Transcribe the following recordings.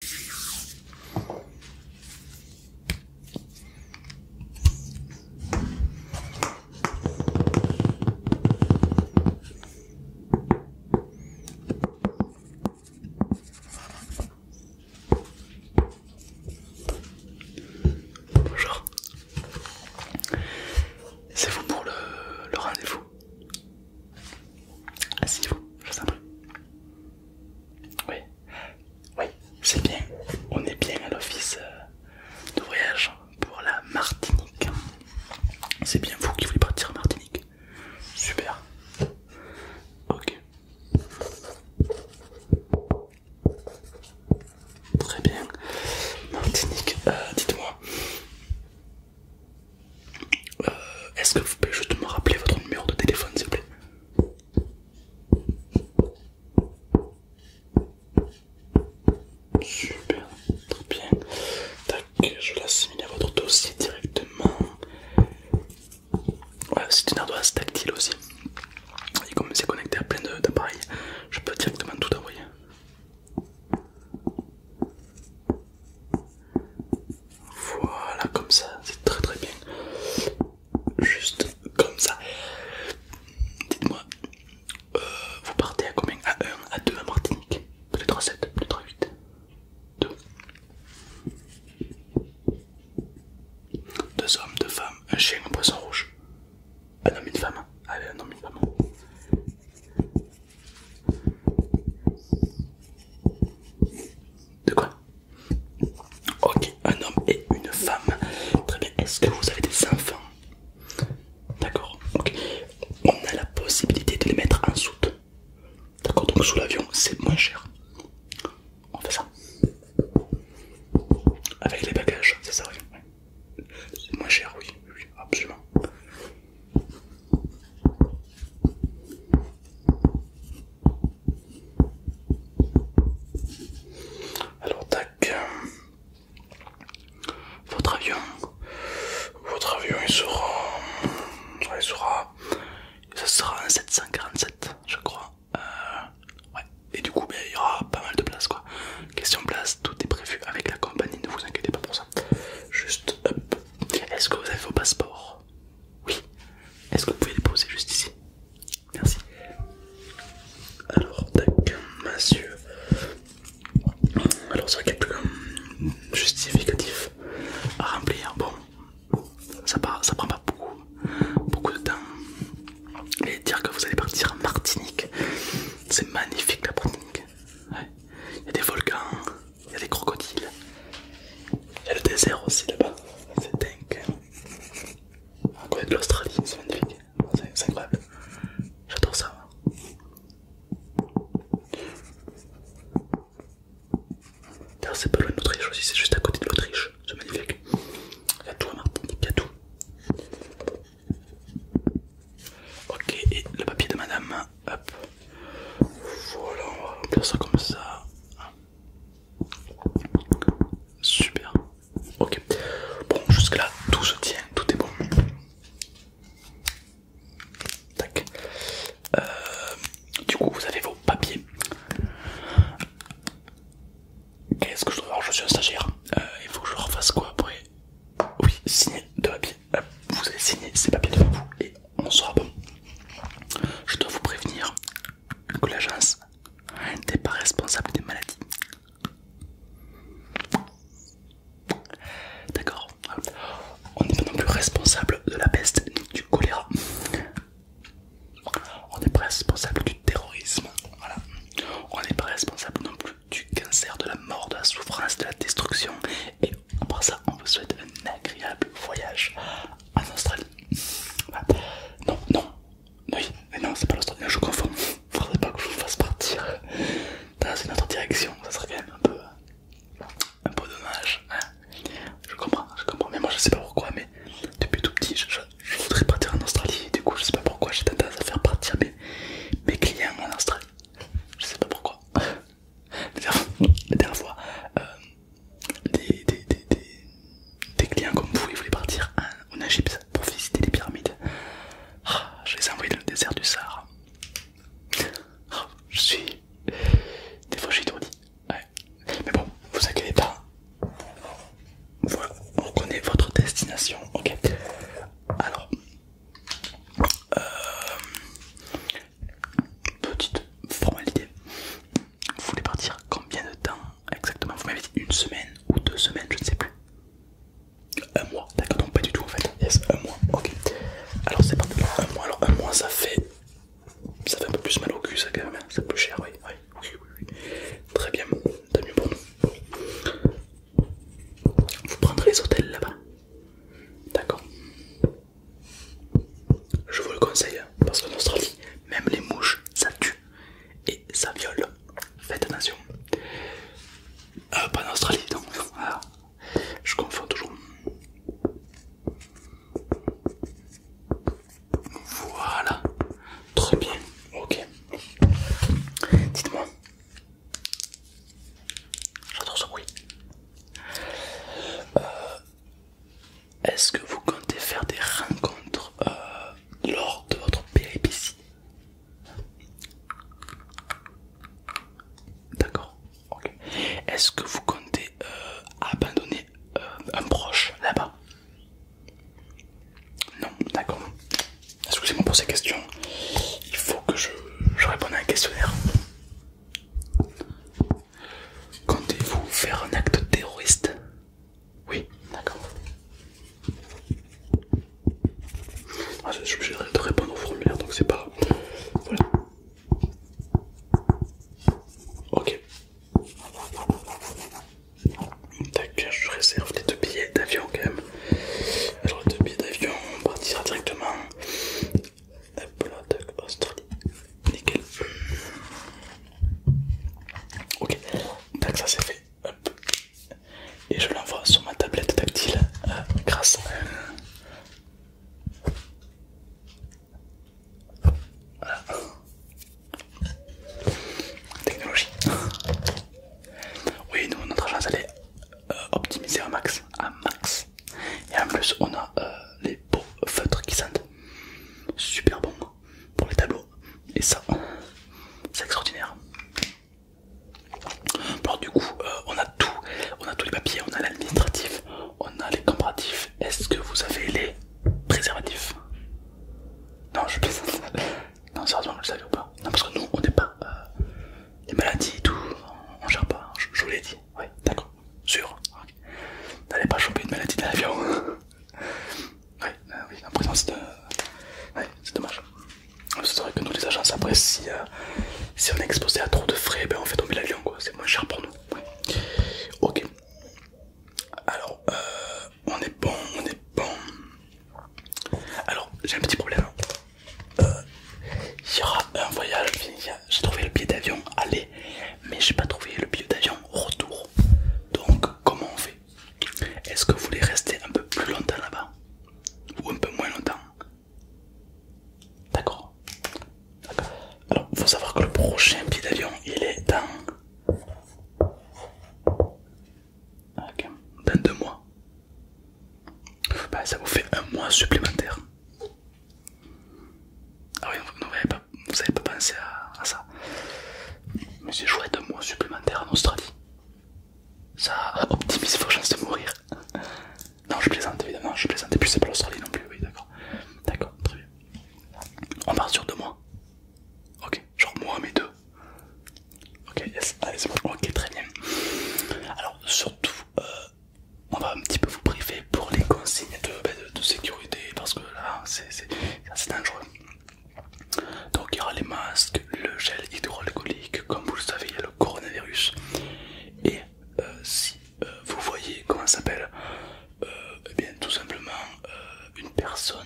Bonjour, c'est vous pour le, rendez-vous. Asseyez-vous, je vous en prie. Oui, oui, c'est bien. On est bien à l'office euh, de voyage pour la Martinique. C'est bien vous qui voulez partir en Martinique. Super. Ok. Très bien. Martinique, euh, dites-moi. Euh, est-ce que vous pouvez juste me rappeler votre numéro de téléphone s'il vous plaît Super, très bien. Je je l'assimiler à votre dossier directement. c'est une ardoise tactile aussi. Et comme c'est connecté à plein d'appareils, je peux directement tout envoyer. Voilà, comme ça, c'est très très bien. Juste comme ça. Dites-moi, euh, vous partez à combien À 1, à 2 à Martinique Plus 3 7, plus 3 8 2 Deux hommes, deux femmes, un chien, un poisson rouge. Ah hein. ah, un homme, une femme. Allez, un homme, une femme. De quoi Ok, un homme et une femme. Très bien, est-ce que vous avez des enfants D'accord, On a la possibilité de les mettre en soute. D'accord, donc sous l'avion, c'est moins cher. On fait ça. Avec les bagages, c'est ça, oui. C'est moins cher, oui, absolument. Alors tac, votre avion, votre avion il sera, il sera, ça sera un 747 je crois, euh, ouais. et du coup ben, il y aura pas mal de place quoi. Question place, tout est prévu avec la compagnie, ne vous inquiétez pas pour ça. Juste est-ce que vous avez vos passeports Oui. Est-ce que vous pouvez les poser juste ici Merci. Alors, tac, monsieur. Alors, ça quelques euh, justificatifs à remplir. Bon, ça, ça prend pas beaucoup, beaucoup de temps. Et dire que vous allez partir en Martinique, c'est magnifique la Martinique. Ouais. Il y a des volcans, il y a des crocodiles. Il y a le désert aussi là-bas. C'est dingue. On côté de l'Australie, c'est magnifique. C'est incroyable. J'adore ça. D'ailleurs, c'est pas loin d'Autriche aussi, c'est juste à côté de l'Autriche. C'est magnifique. Il y a tout à Martinique, il y a tout. Ok, et le papier de madame, hop. Voilà, on va remplir ça comme ça. Super. Ok. Bon, jusque là, tout se tient, tout est bon. Tac. Euh, du coup, vous avez vos papiers. Qu'est-ce que je dois faire, Je suis un stagiaire. Euh, il faut que je refasse quoi après Oui, signer de papier. Bah, vous allez signer ces papiers devant vous et on sera bon. Je dois vous prévenir que l'agence n'est pas responsable des maladies. D'accord, on n'est pas non plus responsable de la peste ni du choléra. On n'est pas responsable du terrorisme, voilà. On n'est pas responsable non plus du cancer, de la mort, de la souffrance, de la destruction. Et après ça, on vous souhaite un agréable voyage en Australie. Non, non, mais non, c'est pas l'Australie, je confonds. Faudrait pas que je vous fasse partir dans une autre direction, ça serait quand même un peu, un dommage. Hein. je comprends, je comprends, mais moi je sais pas pourquoi, mais depuis tout petit, je, voudrais partir en Australie. du coup, je sais pas pourquoi j'ai tendance à faire partir mes, clients en Australie. Je sais pas pourquoi. La dernière fois, euh, des, clients comme vous, ils voulaient partir en, Egypte pour visiter les pyramides. Ah, je les ai envoyés dans le désert du Sahara. Ah, je suis. Des fois, je suis Mais bon, vous inquiétez pas. on connaît votre destination. Ok alors euh, petite formalité vous voulez partir combien de temps exactement vous m'avez dit une semaine ou deux semaines je ne sais plus un mois d'accord donc pas du tout en fait yes un mois ok alors c'est parti un mois alors un mois ça fait ça fait un peu plus mal au cul ça quand même hein. c'est plus cher oui oui oui, oui. très bien tant mieux pour nous vous prendrez les hôtels là-bas. D'accord Je vous le conseille, hein, parce qu'en Australie, même les mouches, ça tue et ça viole. Faites attention. Euh, pas en Australie, donc. Ah, je confonds toujours. Voilà. Très bien. Ok. Dites-moi. J'adore ce bruit. Euh, est-ce que vous comptez faire des rencontres euh, lors de votre péripétie D'accord. ok. Est-ce que vous comptez euh, abandonner un proche là-bas non, d'accord. Excusez-moi pour ces questions. Il faut que je, je réponde à un questionnaire. Comptez-vous faire un acte terroriste Oui, d'accord. Ah, je suis obligé de répondre au formulaire, donc c'est pas... Voilà. Ok. Tac, je réserve les deux billets d'avion quand même. Alors les deux billets d'avion, on partira directement. Hop là, Australie. Nickel. Ok, tac, ça c'est fait. Et je l'envoie sur ma tablette tactile euh, grâce à Voilà. Technologie. oui, nous, notre agence, elle est euh, optimisée à max. À max. Et en plus, on a euh, les beaux feutres qui sentent super bon pour les tableaux. Et ça, c'est extraordinaire. Alors du coup, euh, on a tout, on a tous les papiers, on a l'administratif, on a les comparatifs. Est-ce que vous avez les préservatifs non, je plaisante. non, sérieusement, vous le savez ou pas Non, parce que nous, on n'est pas. Euh, les maladies et tout, on, gère pas. Hein. Je, vous l'ai dit. Oui, d'accord. Sûr. N'allez pas choper une maladie euh, de l'avion. oui, oui, en présence c'est dommage. C'est vrai que nous, les agences, après, euh, si, on est exposé à trop de frais, ben, on fait tomber l'avion, quoi. C'est moins cher pour nous. Ok. Alors, euh, on est bon, on est bon. Alors, j'ai un petit problème. Euh, il y aura un voyage. J'ai trouvé le billet d'avion, aller, mais j'ai pas trouvé le billet d'avion retour. Donc, comment on fait Est-ce que vous voulez rester un peu plus longtemps là-bas ou un peu moins longtemps D'accord. Alors, faut savoir que le prochain billet d'avion, il est dans Ok, dans deux mois. Bah, ça vous fait un mois supplémentaire. Ah oui, vous n'avez pas, pensé à, ça. Mais c'est chouette, un mois supplémentaire en Australie. Ça optimise vos chances de mourir. Non, je plaisante évidemment, je plaisante. Et puis c'est pas l'Australie non plus, oui, d'accord. D'accord, très bien. On part sur deux mois. Ok, genre moi mes deux. Ok, allez Ok, très bien. Alors surtout, euh, on va un petit peu vous priver pour les consignes de, ben, sécurité parce que là c'est assez dangereux. Donc il y aura les masques, le gel hydroalcoolique, comme vous le savez il y a le coronavirus. Et euh, si euh, vous voyez comment s'appelle euh, eh bien tout simplement euh, une personne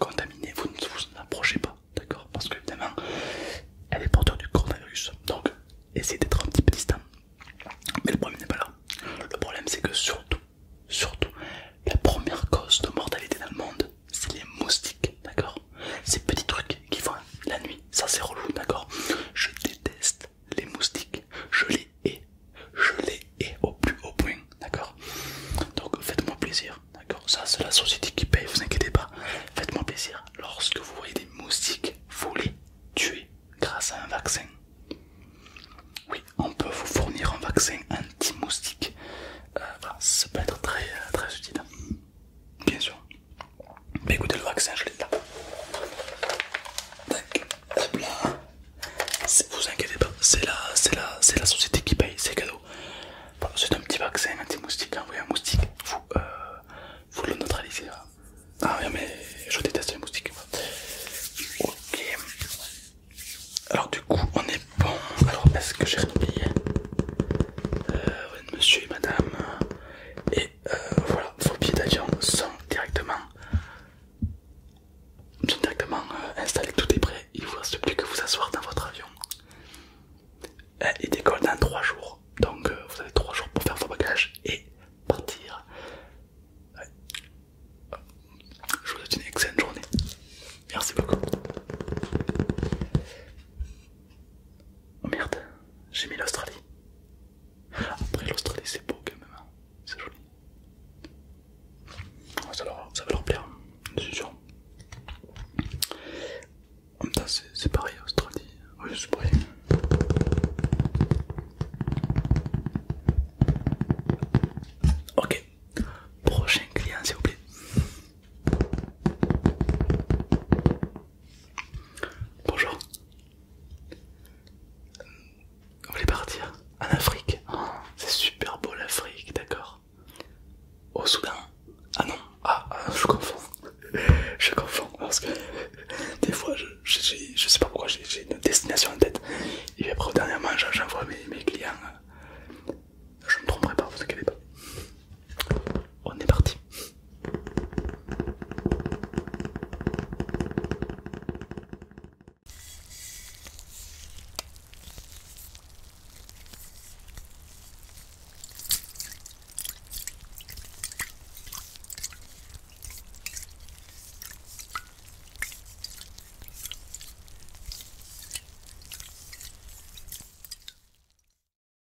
contaminée, vous ne vous en approchez pas, d'accord Parce que évidemment, elle est porteur du coronavirus, donc essayez d'être un petit peu distant. Mais le problème n'est pas là. Le problème c'est que surtout, surtout, la première cause de mortalité dans le monde, c'est les moustiques, d'accord Ces petits trucs qui font la nuit, ça c'est relou, d'accord Je déteste les moustiques, je les hais, je les hais au plus haut point, d'accord Donc faites-moi plaisir, d'accord Ça c'est la société qui paye, vous inquiétez pas, faites-moi plaisir. Lorsque vous voyez des moustiques, vous les tuez grâce à un vaccin. Oui, on peut vous fournir un vaccin anti-moustique. Euh, ça peut être très, euh, très utile, bien sûr. Mais écoutez, le vaccin, je l'ai là. Vous inquiétez pas, c'est la, la société qui paye, c'est cadeau. c'est un petit vaccin anti-moustique, envoyez hein, un moustique, vous, euh, le neutralisez. Hein. Ah mais je déteste les moustiques. Ok. Alors du coup, on est bon. Alors, est-ce que j'ai rien euh, Monsieur et madame. Euh, voilà, vos billets d'avion sont directement, directement euh, installés, tout est prêt, il vous reste plus que vous asseoir dans votre avion. et euh, décolle dans 3 jours, donc vous avez 3 jours pour faire vos bagages et partir. Je vous souhaite une excellente journée. Merci beaucoup. Oh merde, j'ai mis l'Australie. Après l'Australie c'est beau quand même, hein. c'est joli. Ça, va leur plaire, hein. suis sûr. En même temps c'est pareil, Australie, oui Ok, prochain client s'il vous plaît. Bonjour. on voulez partir En Afrique oh. C'est super beau l'Afrique, d'accord. Au Soudan Ah non, ah, ah, je confonds. Je confonds parce que des fois, je, je, sais pas pourquoi, j'ai une destination en tête. Et puis après, dernièrement, j'envoie mes, mes clients. Euh, je ne me tromperai pas, vous inquiétez pas. On est parti.